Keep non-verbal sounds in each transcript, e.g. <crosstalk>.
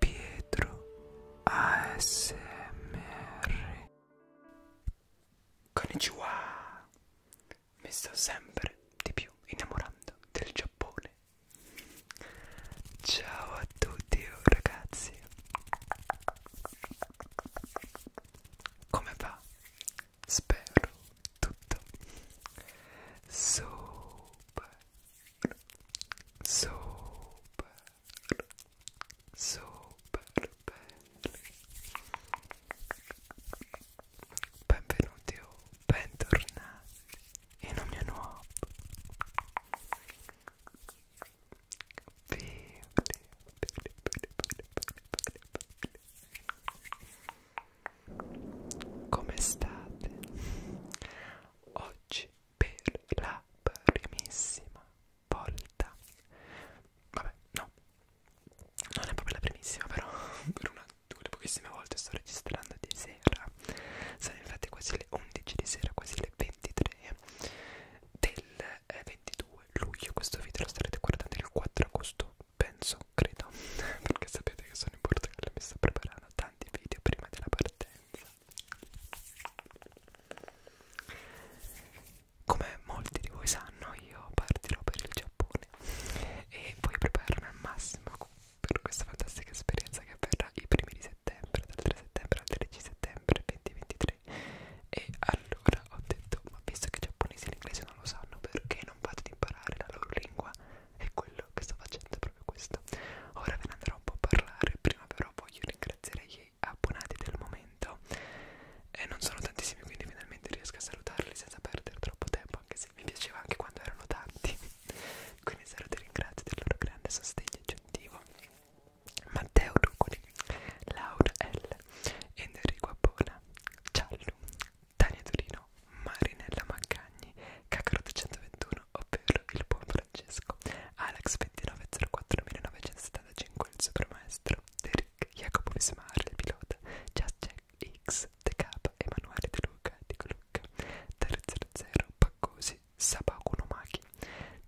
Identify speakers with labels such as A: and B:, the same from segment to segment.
A: Pietro ASMR Konnichiwa Mi sto sempre di più innamorando del Giappone Ciao a tutti ragazzi Come va? Spero tutto super super super belli benvenuti o bentornati in un mio nuovo video come state? oggi per la primissima volta vabbè no non è proprio la primissima però <laughs> per una delle pochissime volte sto registrando di sera sono infatti quasi le 11 di sera quasi le 23 del 22 eh, luglio questo video lo starete guardando il 4 agosto penso credo <laughs> perché sapete che sono in Portogallo mi sto preparando tanti video prima della partenza come molti di voi sanno io partirò per il Giappone e voglio prepararmi al massimo per questa fantastica esperienza che avverrà i primi di settembre dal 3 settembre al 13 settembre 2023 e allora ho detto ma visto che i giapponesi e l'inglese non lo sanno perché non vado ad imparare la loro lingua e quello che sto facendo è proprio questo. Ora ve ne andrò un po' a parlare, prima però voglio ringraziare gli abbonati del momento e non sono tantissimi quindi finalmente riesco a salutarli senza perdere troppo tempo, anche se mi piaceva anche quando erano tanti. <laughs> quindi sarò ti ringrazio del loro grande sostegno aggiuntivo. Matteo Rucoli, Laura L, Enrico Appona, Ciallo, Tania Torino, Marinella Maccagni, K421, ovvero il buon Francesco, Alex 2904 1975, il supermaestro, Derek, Jacopo Vismar, il pilota, Just Jack X, TK, Emanuele De Luca, Dico Luca, 300, Paccosi, Sabacuno Machi,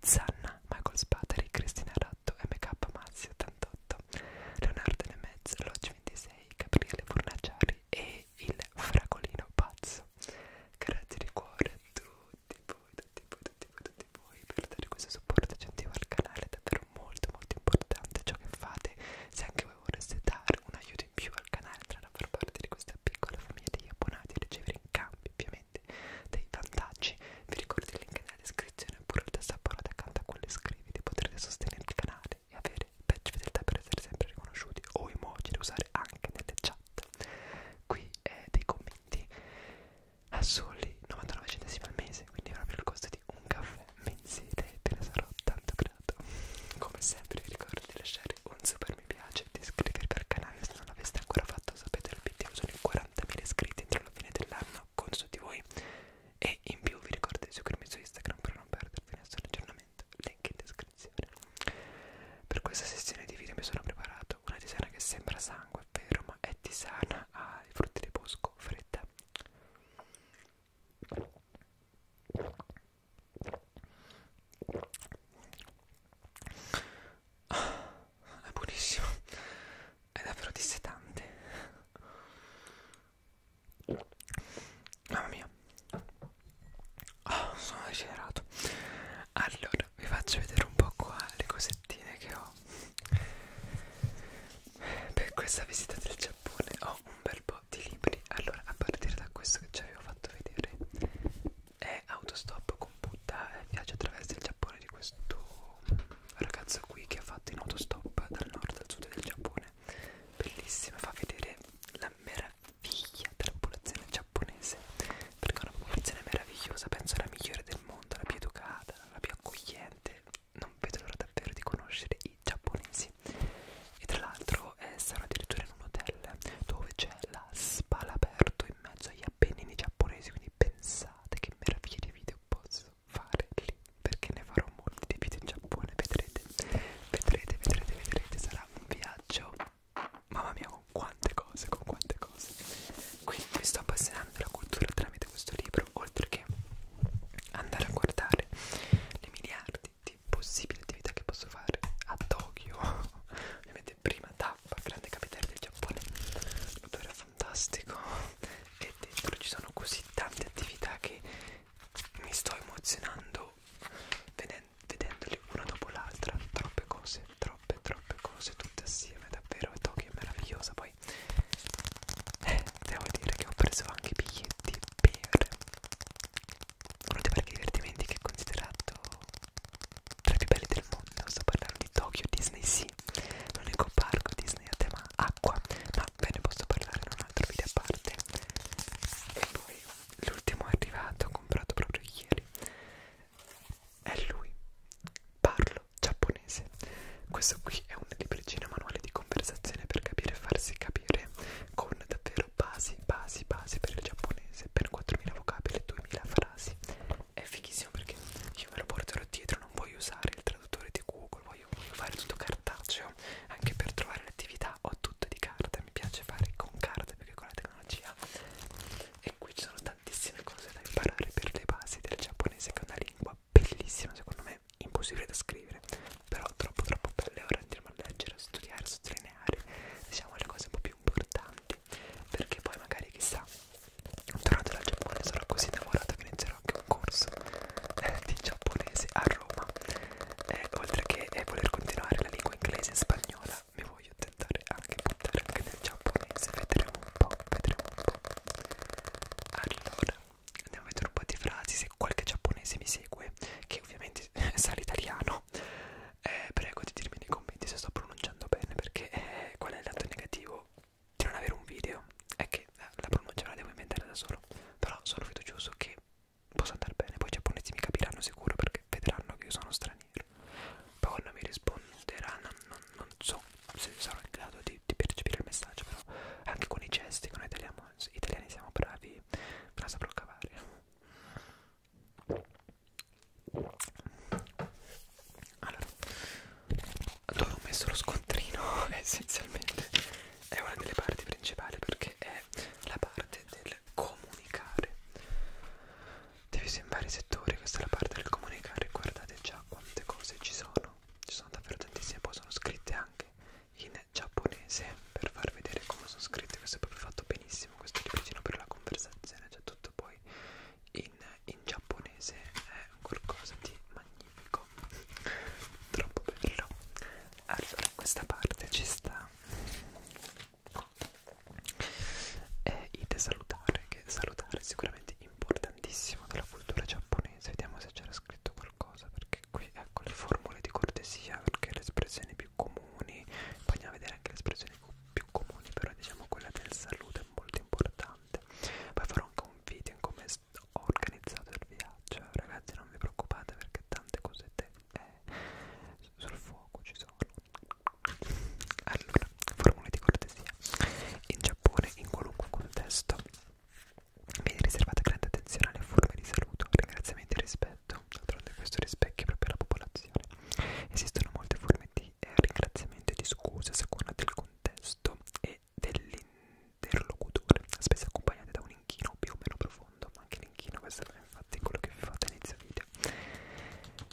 A: Zanna, Michael Spateri, Cristina Ratto, MK Mazzi 88, Leonardo Nemez, Lodge 26, Gabriele Fornaciari, e il fragolino pazzo grazie di cuore a tutti voi tutti voi tutti voi tutti voi per dare questo supporto aggiuntivo al canale è davvero molto molto importante ciò che fate se anche voi vorreste dare un aiuto in più al canale tra la far parte di questa piccola famiglia degli abbonati e ricevere in cambio ovviamente dei vantaggi vi ricordo il link nella descrizione oppure il tastaporo accanto a quello iscriviti potrete sostenere il canale utile e avere badge fedeltà per essere sempre riconosciuti o emoji da usare anche nelle chat. Qui è eh, dei commenti a soli 99 centesimi al mese, quindi è proprio il costo di un caffè mensile. Te ne sarò tanto grato. Come sempre, vi ricordo di lasciare un super mi piace e di iscrivervi al canale se non l'aveste ancora fatto. Sapete, l'obiettivo sono i 40.000 iscritti entro la fine dell'anno. Conto su di voi. E in più vi ricordo di seguirmi su Instagram per non perdervi nessun aggiornamento sicuramente, link in descrizione. Per questa sessione di video mi sono preparato una tisana che sembra sangue, è vero, ma è tisana ai frutti di bosco fredda. Ah, è buonissimo, è davvero dissetante. Mamma mia oh, Sono desiderato Allora vi faccio vedere un po' qua le cosettine che ho Per questa visita del Giappone ho un bel po' di libri Allora a partire da questo che ci avevo fatto vedere È Autostop con Buddha e eh, viaggio attraverso il Giappone di questo ragazzo qui che ha fatto in autostop dal nord al sud del Giappone Bellissima, fa vedere la meraviglia figlia della popolazione giapponese perché è una popolazione meravigliosa, penso la migliore del mondo, la più educata, la più accogliente. Non vedo l'ora davvero di conoscere i giapponesi. E tra l'altro eh, sarò addirittura in un hotel dove c'è la spa all'aperto in mezzo agli appennini giapponesi, quindi pensate che meraviglia di video posso fare lì perché ne farò molti di video in Giappone, vedrete, vedrete, vedrete, vedrete, sarà sarà un viaggio mamma mia con quante cose con quante cose quindi mi sto appassionando della cultura tramite questo libro oltre che andare a guardare le miliardi di possibili attività che posso fare a Tokyo ovviamente prima tappa grande capitale del Giappone l'odore è fantastico e dentro ci sono così tante attività che mi sto emozionando vedendole una dopo l'altra, troppe cose, troppe, troppe cose, tutte assieme, davvero Tokyo è meravigliosa. Poi eh, devo dire che ho preso anche i biglietti per uno dei parchi divertimenti che è considerato tra i più belli del mondo. Sto parlando di Tokyo Disney Sea, l'unico parco Disney a tema acqua, ma ve ne posso parlare in un altro video a parte. E poi l'ultimo arrivato, comprato proprio ieri, è lui, parlo giapponese. Questo qui è un libricino manuale di conversazione per capire e farsi capire con davvero basi, basi, basi per il giapponese, per 4000 vocabili e 2000 frasi. È fighissimo perché io me lo porterò dietro, non voglio usare il traduttore di Google, voglio, voglio fare tutto cartaceo proprio anche per trovare le attività ho tutto di carte mi piace fare con carte perché con la tecnologia e qui ci sono tantissime cose da imparare per le basi del giapponese che è una lingua bellissima secondo me impossibile da scrivere però troppo troppo belle ora andiamo a leggere a studiare a sottolineare diciamo le cose un po' più importanti perché poi magari chissà tornato dal Giappone sarò così innamorato che inizierò anche un corso eh, di giapponese a Roma eh, oltre che eh, voler continuare la lingua inglese e spagnola mi voglio tentare anche buttare anche nel giapponese vedremo un po' vedremo un po' allora andiamo a vedere un po' di frasi se qualche giapponese mi segue che ovviamente <laughs> sa l'italiano eh, prego di dirmi nei commenti se sto pronunciando bene perché eh, qual è il lato negativo di non avere un video è che eh, la pronuncia me la devo inventare da solo però sono fiducioso che posso andare bene, poi i giapponesi mi capiranno sicuro perché vedranno che io sono straniero. Poi quando mi risponderanno non, non so se sarò in grado di, di percepire il messaggio, però anche con i gesti che noi italiano, italiani siamo bravi, me la saprò cavare. Allora, dove ho messo lo scontrino <laughs> essenzialmente è una delle parti principali perché è la parte parte del comunicare divisa in vari settori questa è la parte del comunicare guardate già quante cose ci sono ci sono davvero tantissime poi sono scritte anche in giapponese per far vedere come sono scritte questo è proprio fatto benissimo questo libricino per la conversazione cioè tutto poi in, in giapponese è qualcosa di magnifico <laughs> troppo bello allora questa parte ci sta è ite salutare che salutare è sicuramente importantissimo della cultura giapponese vediamo se c'era scritto qualcosa perché qui ecco le formule di cortesia perché le espressioni più comuni poi andiamo a vedere anche le espressioni più comuni però diciamo quella del saluto è molto importante poi farò anche un video in come ho organizzato il viaggio ragazzi non vi preoccupate perché tante cosette eh, sul fuoco ci sono allora formule di cortesia in Giappone in qualunque contesto viene riservata grande attenzione alle forme di saluto ringraziamenti e rispetto d'altronde questo rispecchia proprio la popolazione esistono molte forme di eh, ringraziamento e di scusa a seconda del contesto e dell'interlocutore spesso accompagnate da un l'inchino più o meno profondo ma anche l'inchino questo è infatti quello che vi ho fatto inizio video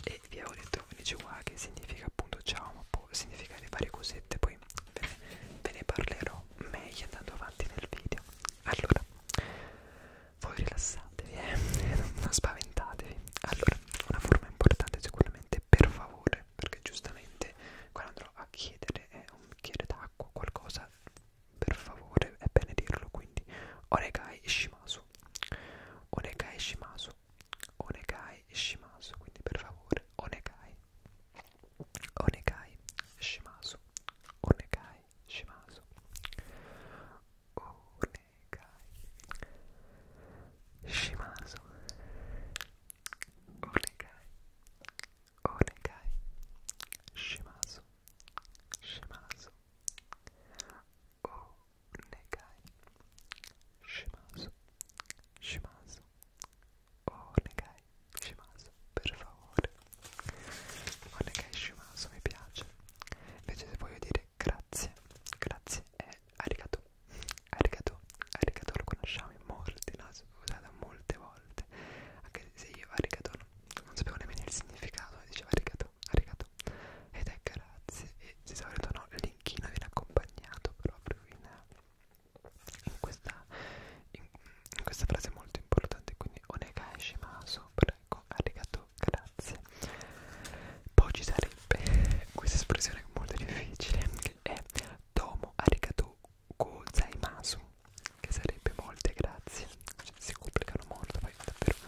A: e vi avevo detto Konnichiwa ah, che significa appunto ciao ma può significare varie cosette poi ve ne, ve ne parlerò meglio andando avanti nel video allora voi rilassatevi eh? <laughs> non spaventatevi allora una forma importante sicuramente per favore perché giustamente quando andrò a chiedere eh, un bicchiere d'acqua qualcosa per favore, è bene dirlo quindi Onegai Shimasu Onegai Shimasu Onegai Shimasu quindi per favore Onegai Onegai Shimasu Onegai Shimasu Onegai Shimasu Onegai Onegai Shimasu scemaso o negai scemaso scemaso o negai scemaso per favore o negai scemaso mi piace invece se voglio dire grazie grazie è arigato arigato arigato lo conosciamo in molti l'ho usato molte volte niente anche se io arigato non sapevo nemmeno il significato diceva arigato arigato ed è grazie e di solito no il linkino viene accompagnato proprio in, in, questa, in, in questa frase molto importante quindi onegai shimasu prego ecco, arigato grazie poi ci sarebbe questa espressione molto difficile che è tomo arigato gozaimasu che sarebbe molte grazie cioè, si complicano molto poi davvero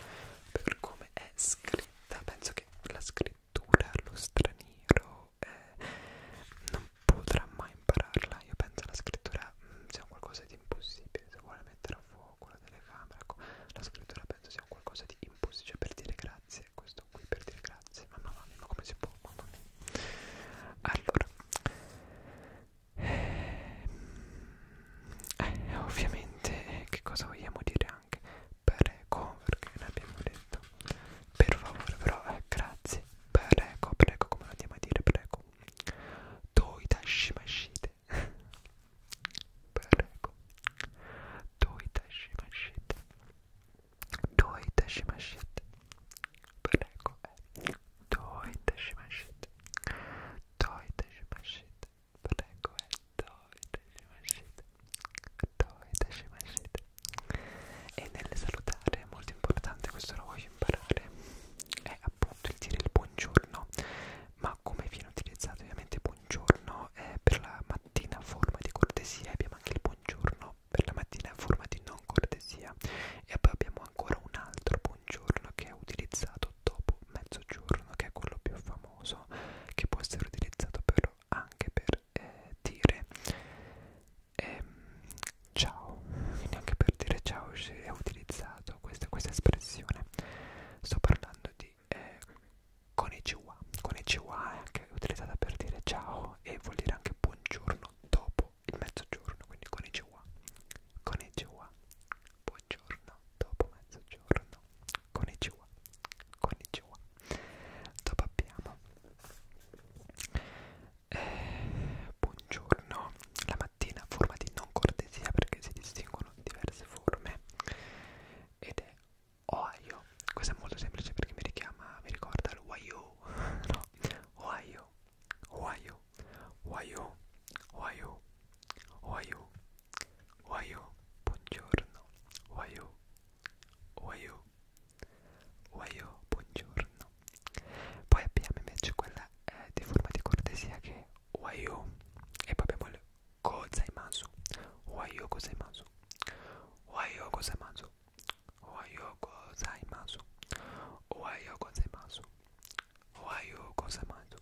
A: per come è scritta penso che la scrittura allo straniero eh, non potrà mai impararla io penso alla scrittura mh, mm, sia qualcosa di impossibile se vuole mettere a fuoco la telecamera ecco, la scrittura penso sia qualcosa di impossibile cioè per dire grazie questo qui per dire grazie mamma mia ma come si può mamma mia allora eh, ovviamente che cosa vogliamo dire anche prego perché ne abbiamo detto per favore però eh, grazie prego prego come lo andiamo a dire prego doi tashimashite prego doi tashimashite doi tashimashite prego eh. Toy taşımaşıt Toy taşımaşıt Prego è eh, Toy taşımaşıt Toy taşımaşıt E nel salutare è molto importante, questo lo voglio imparare È appunto il dire il buongiorno Ma come viene utilizzato ovviamente buongiorno è per la mattina a forma di cortesia Abbiamo anche il buongiorno per la mattina a forma di non cortesia e poi abbiamo ancora un altro buongiorno che è utilizzato dopo mezzogiorno, che è quello più famoso, che può essere utilizzato però anche per eh, dire ehm, ciao, quindi anche per dire ciao è utilizzato questa, questa espressione. Sto parlando di eh, konnichiwa, konnichiwa è anche utilizzata per dire ciao e vuol dire anche buongiorno dopo il mezzogiorno, quindi konnichiwa, konnichiwa, buongiorno, dopo mezzogiorno, konnichiwa, konnichiwa. Dopo abbiamo eh, buongiorno, la mattina, forma di non cortesia perché si distinguono diverse forme ed è Ohio, questo è molto semplice perché mi richiama, mi ricorda l'Ohio, <laughs> no, Ohio, Ohio, Ohio, Ohio, Ohio, Ohio, buongiorno, Ohio, Ohio, Ohio, buongiorno. Poi abbiamo invece quella eh, di forma di cortesia che è Ohio e poi abbiamo il Kozaimasu, Ohio Kozaimasu, Ohio Kozaimasu, Ohio gozaimasu. Ohio gozaimasu. Ohio gozaimasu.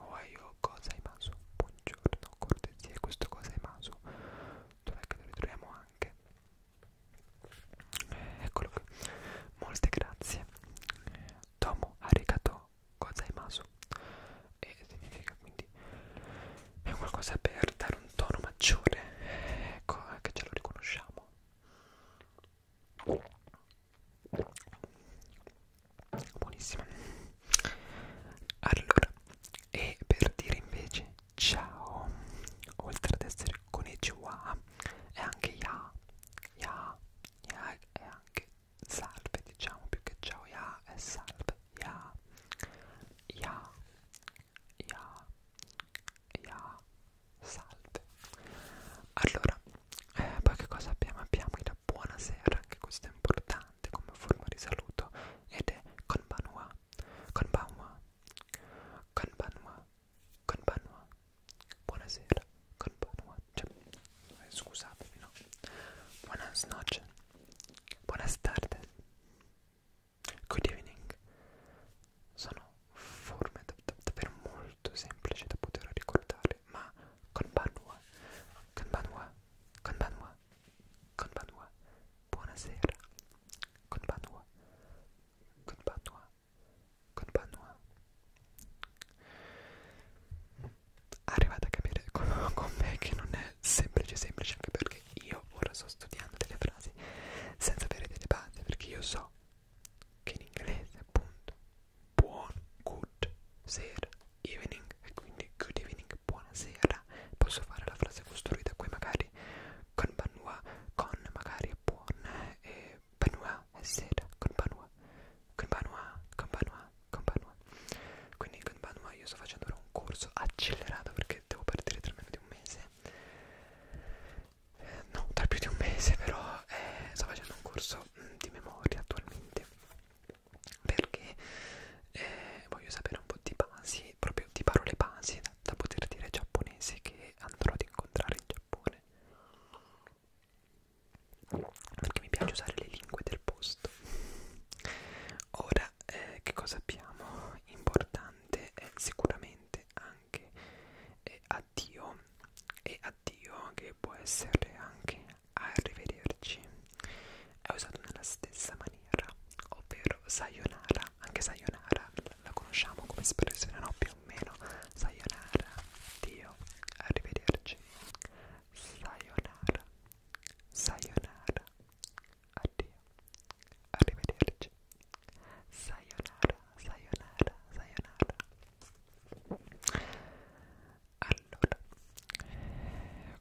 A: Ohio gozaimasu. Buongiorno, cortesia, questo gozaimasu. Dov'è che lo ritroviamo anche? Eh, eccolo qui. Molte grazie. Tomo arigato gozaimasu. E significa quindi è qualcosa per dare un tono maggiore. Eh, ecco, che ce lo riconosciamo buonissima allora e per dire invece ciao oltre ad essere con Ejiwa è anche ya ya ya è anche salve diciamo più che ciao ya è salve ya ya ya ya salve allora eh, poi che cosa abbiamo? abbiamo il buonasera anche questo è importante come forma di saluto ed è konbanwa konbanwa konbanwa konbanwa buonasera konbanwa cioè, eh, scusatemi no buonas noches buonas tardes good evening sono forme da, da, davvero molto semplici da poter ricordare, ma konbanwa, konbanwa, konbanwa, konbanwa, buonasera, konbanwa, konbanwa, konbanwa. Arrivate a capire con, con me che non è semplice semplice anche perché io ora sto studiando delle frasi senza avere delle basi perché io so che in inglese appunto buon good sera evening e quindi good evening buonasera posso fare la frase costruita qui magari con banua con magari buon eh, e banua è sera con banua con banua con banua con banua quindi con banua io sto facendo ora un corso accelerato perché devo partire tra meno di un mese no, da più di un mese però eh, sto facendo un corso mh, mm, di memoria attualmente perché eh, voglio sapere un po' di basi, proprio di parole basi da, da poter dire giapponese che andrò ad incontrare in Giappone perché mi piace usare le lingue del posto ora eh, che cosa abbiamo importante è sicuramente anche anche eh, addio e addio che può essere anche arrivederci è usato nella stessa maniera ovvero sayonara anche sayonara la conosciamo come espressione no più o meno sayonara addio arrivederci sayonara sayonara addio arrivederci Sayonara, sayonara, sayonara. Allora,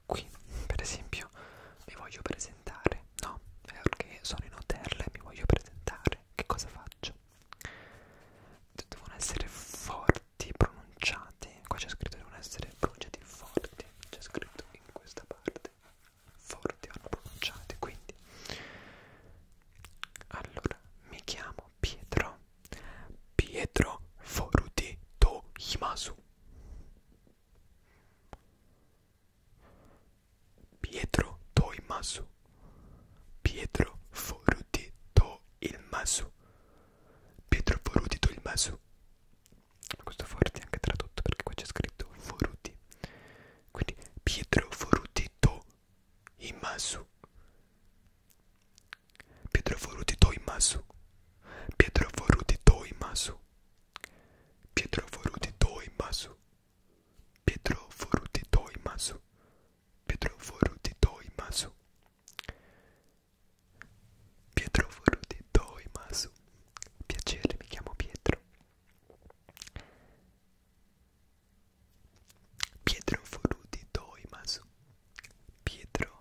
A: qui per esempio mi voglio presentare, no? Perché sono in hotel e mi voglio presentare. Che cosa faccio? Devono essere forti, pronunciati. Qua c'è scritto devono essere pronunciati forti. C'è scritto in questa parte forti vanno pronunciate quindi allora mi chiamo Pietro Pietro Foruti Himasu Pietro Toimasu Pietro Foruti Ilmasu Pietro Foruti Ilmasu questo forti è anche tradotto perché qua c'è scritto Foruti quindi Pietro Forutito Imasu Pietro Forutito Imasu Pietro Forutito Imasu Pietro Forutito Imasu Pietro Forutito Imasu Pietro Forutito Imasu Pietro Forutito Imasu Piacere, mi chiamo Pietro Pietro Foruti Doimasu Pietro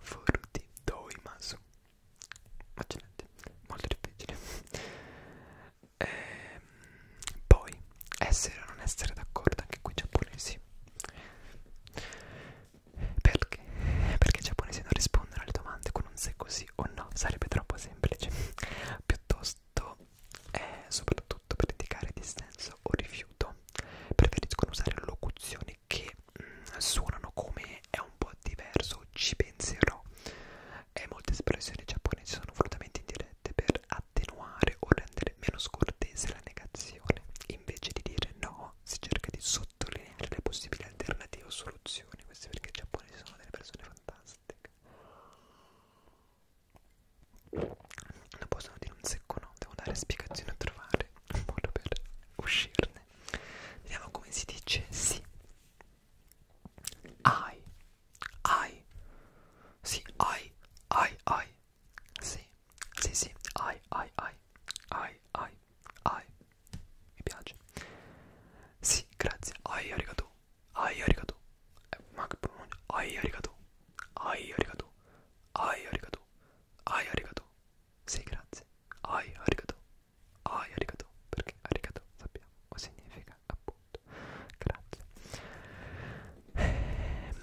A: Foruti Doimasu Accidenti, molto difficile ehm, Poi, essere o non essere d'accordo anche qui giapponesi Perché? Perché i giapponesi non rispondono alle domande con un se così o no Sarebbe troppo semplice Piuttosto eh, soprattutto per indicare dissenso o rifiuto, preferiscono usare locuzioni che mh, mm, suonano come è un po' diverso, ci penserò. E molte espressioni giapponesi sono volutamente indirette per attenuare o rendere meno scortese la negazione. Invece di dire no, si cerca di sottolineare le possibili alternative o soluzioni. Questo perché i giapponesi sono delle persone fantastiche non possono dire un secco no, devo dare spiegazioni a trovare un modo per uscirne vediamo come si dice sì ai ai sì ai ai ai sì sì sì ai ai ai ai ai ai mi piace sì grazie ai arigato ai arigato eh, ma che pronuncia ai arigato ai arigato ai arigato ai arigato sì grazie ai arigato ai arigato perché arigato sappiamo significa appunto grazie eh,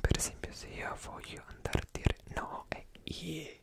A: per esempio se io voglio andare a dire no è ie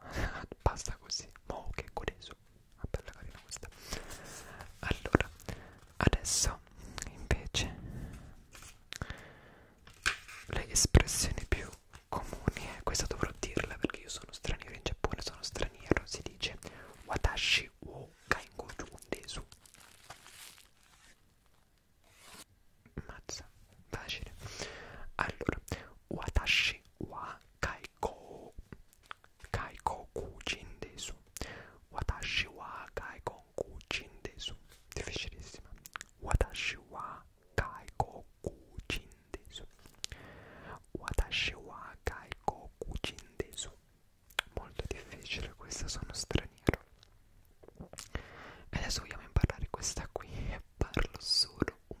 A: <laughs> basta così mo che coreso ah, bella carina questa allora adesso invece le espressioni più comuni e eh, questa dovrò dirla perché io sono straniero in Giappone sono straniero si dice watashi wo kaingoju desu mazza facile allora watashi wa kai Kaiko Kaiko Kujin desu Watashi wa Kaiko Kujin desu Difficilissima Watashi wa Kaiko Kujin desu Watashi wa Kaiko Kujin desu Molto difficile questa, sono straniero E adesso vogliamo imparare questa qui e parlo solo un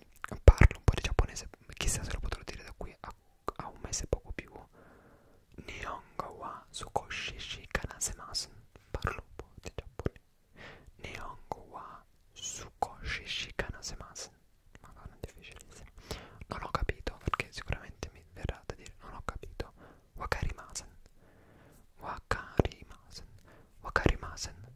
A: parlo un po' di giapponese, chissà se lo potrò dire da qui a, a un mese poco più. Nihongo wa Sukoshi Shikanasemasu. Parlo un po' di giapponese. Nihongo wa Sukoshi Shikanasemasu. Madonna, è difficilissimo. Non ho capito perché sicuramente mi verrà da dire non ho capito. Wakarimasen. Wakarimasen. Wakarimasen.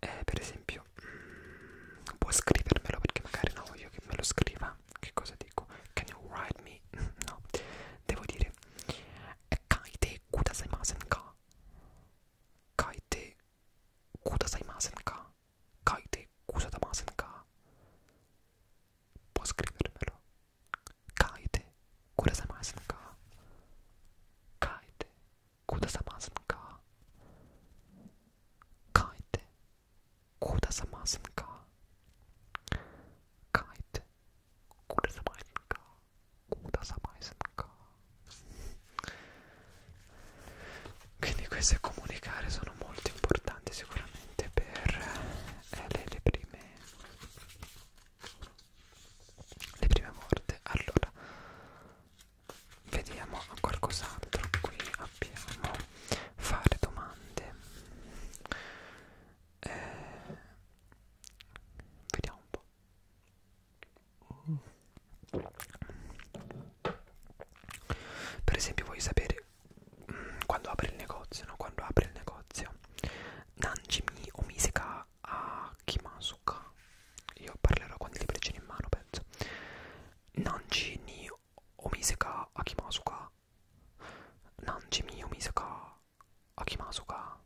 A: eh, per esempio mm, può scrivermelo perché magari non voglio che me lo scriva che cosa dico? can you write me? <laughs> no devo dire kaite kudasaimasen ka kaite kudasaimasen ka kaite kudasaimasen ka può scrivermelo kaite kudasaimasen ka kaite くださますんか書いてくださますんか書いてくださますんかくださますんか quindi queste comunicare sono molto importanti sicuramente per eh, le, le prime le prime morte allora vediamo qualcos'altro qui abbiamo fare domande eh, vediamo un po' per esempio voglio sapere mh, mm, quando apre il negozio no? quando apre il negozio Nanjimi o Misika a Kimasuka io parlerò con i libricini in mano penso Nanji ni omiseka a Kimasuka Nanji mi omiseka a Kimasuka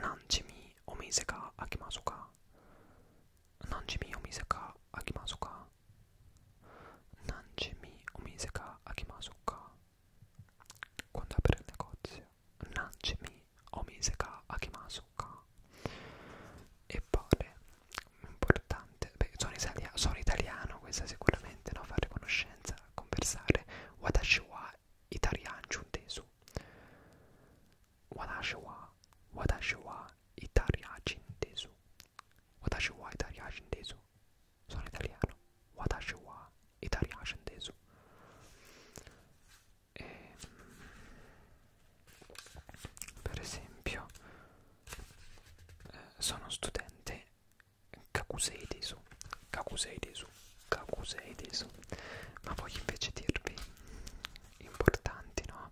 A: Nanji mi omiseka a Kimasuka Nanji mi omiseka a Kimasuka Nanji mi omiseka a Kimasuka quando apre il negozio Nanjimi o Mise ka Akimasuka e poi importante perché sono, italia sono italiano questa sicuramente no fare conoscenza conversare watashi wa italian giuntesu watashi wa watashi wa italian giuntesu watashi wa italian giuntesu sono italiano watashi wa italian giuntesu e, ehm, per esempio eh, sono studente Kakusei Desu Kakusei Desu Kakusei Desu ma voglio invece dirvi importanti no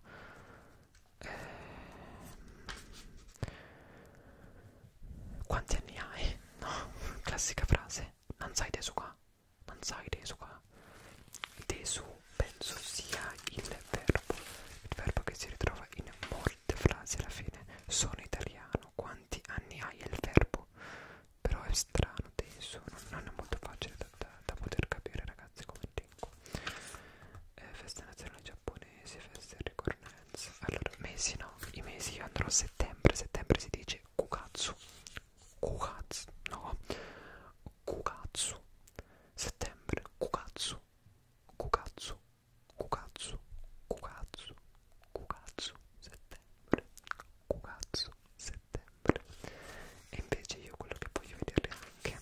A: eh, quanti anni hai no <laughs> classica frase non sai desu qua mansaire su qua desu penso sia il verbo il verbo che si ritrova in molte frasi alla fine sono italiano quanti anni hai il verbo però è strano desu non, non è molto facile da, da, da poter capire ragazzi come dico eh, festa nazionale giapponese festa di ricorrenza allora mesi no i mesi io andrò a settembre settembre si dice kukatsu Kukatsu, no, Kukatsu, settembre, Kukatsu, Kukatsu, Kukatsu, Kukatsu, Kukatsu, settembre, Kukatsu, settembre. E invece io quello che voglio vedere anche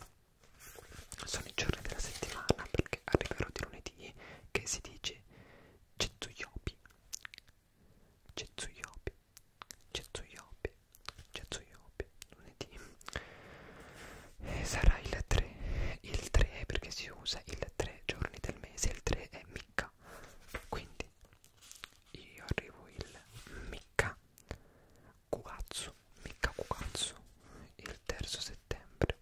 A: sono i giorni della settimana perché arriverò di lunedì che si dice Cetsuyobi Getsuyobi, Getsuyobi, Getsuyobi, lunedì e eh, sarà il 3, il 3 perché si usa il 3 giorni del mese, il 3 è Micca, quindi io arrivo il Micca Kugatsu, Micca Kugatsu, il terzo settembre,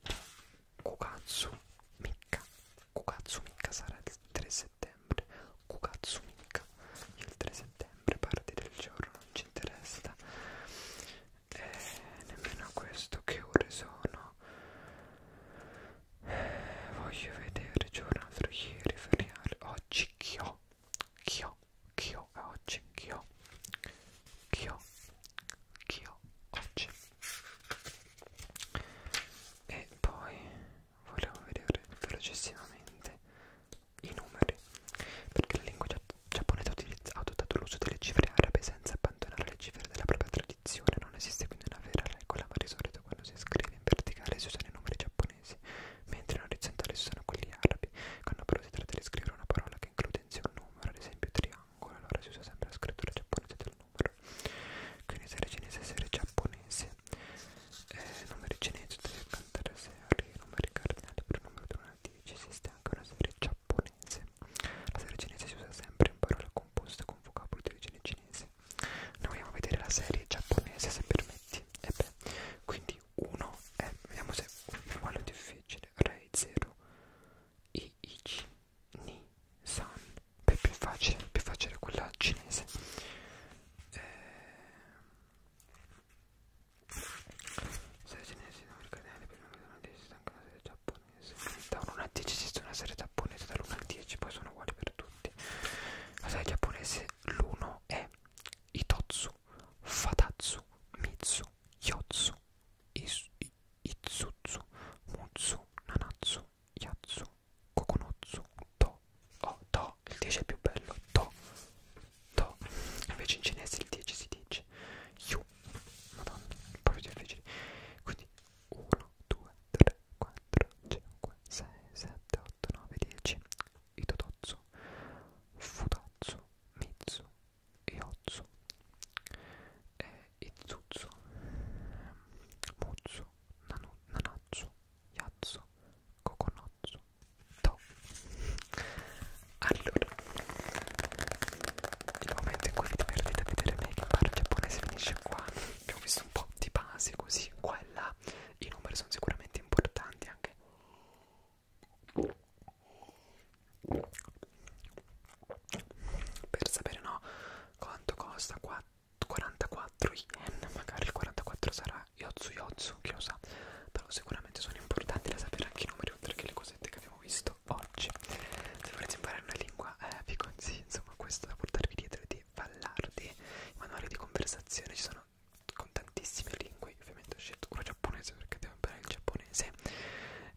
A: Kugatsu Micca, Kugatsu Micca sarà il 3, settembre Kukatsu Mika il 3 settembre parte del giorno non ci interessa e eh, nemmeno questo che ore sono eh, voglio vedere giornata ieri feriale oggi chi ho chi ho chi ho oggi chi ho chi ho chi ho oggi e poi volevo vedere velocissimamente i numeri perché la lingua giapponese ha adottato l'uso delle cifre arabe senza abbandonare le cifre della propria tradizione non esiste quindi una vera regola ma di solito quando si scrive in verticale si usano i numeri giapponesi mentre in orizzontale si usano quelli arabi quando però si tratta di scrivere una parola che include in sé un numero ad esempio triangolo allora si usa sempre la scrittura giapponese del numero quindi se era cinese se era giapponese eh, numeri cinesi deve cantare a serie, numeri cardinali per numero da 1 a 10, esiste anche una serie giapponese. La serie cinese si usa sempre in parole composte con vocaboli di origine cinese. Noi andiamo a vedere la serie giapponese se permetti. E beh, quindi 1 è, vediamo se è uguale o difficile, Rei 0, Iichi, Ni, San. Beh, più facile, più facile quella cinese. Eh, serie cinese nome del canale per nome della destra anche una serie giapponese da 1 a 10 esiste una serie giapponese dall'1 al 10 poi sono uguali per tutti la serie giapponese l'1 è Itotsu Fatatsu Mitsu Yotsu Itsutsu Mutsu Nanatsu Yatsu Kokonotsu To Oh To Il 10 è più bello To To Invece in cinese il 10 si dice Yu Madonna Proprio difficile Quindi 1, 2, 3, 4, 5, 6, 7, 8, 9, 10 Itototsu Futatsu Mitsu Iotsu e Itsutsu Mutsu Nanu, Nanatsu Yazzo, Coconozzo, To. Allora, il momento in cui vi divertite a vedere me che parla giapponese finisce qua. Abbiamo visto un po' di base così, qua e là. I numeri sono sicuramente importanti anche. Per sapere no quanto costa 4 44 yen, magari il 44 sarà Yotsu Yotsu, chi lo sa, però sicuramente sono importanti da sapere anche i numeri oltre che le cosette che abbiamo visto oggi. Se volete imparare una lingua, eh, vi consiglio, insomma, questo da portarvi dietro di Vallardi, il manuale di conversazione ci sono con tantissime lingue, Io ovviamente ho scelto quello giapponese perché devo imparare il giapponese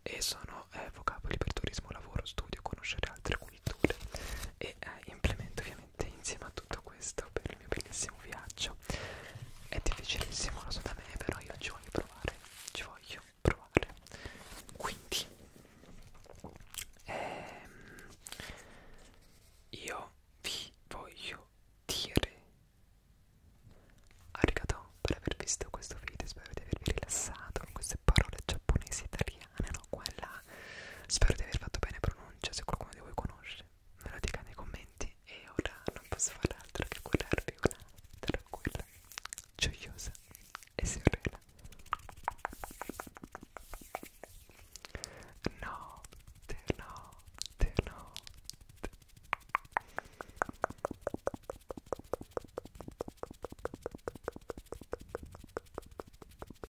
A: e sono eh, vocaboli per turismo, lavoro, studio, conoscere altre culture e eh, implemento ovviamente ovviamente insieme a tutto questo per il mio bellissimo viaggio è difficilissimo lo so da me però io ci voglio provare ci voglio provare quindi ehm, io vi voglio dire arigato per aver visto questo video spero di avervi rilassato con queste parole giapponesi italiane italiane, no? Qua e là. Spero di aver fatto bene pronuncia, se qualcuno di voi conosce, me lo dica nei commenti. E ora non posso fare altro che curarvi una tranquilla, gioiosa e serena. No, te no, te no. Te.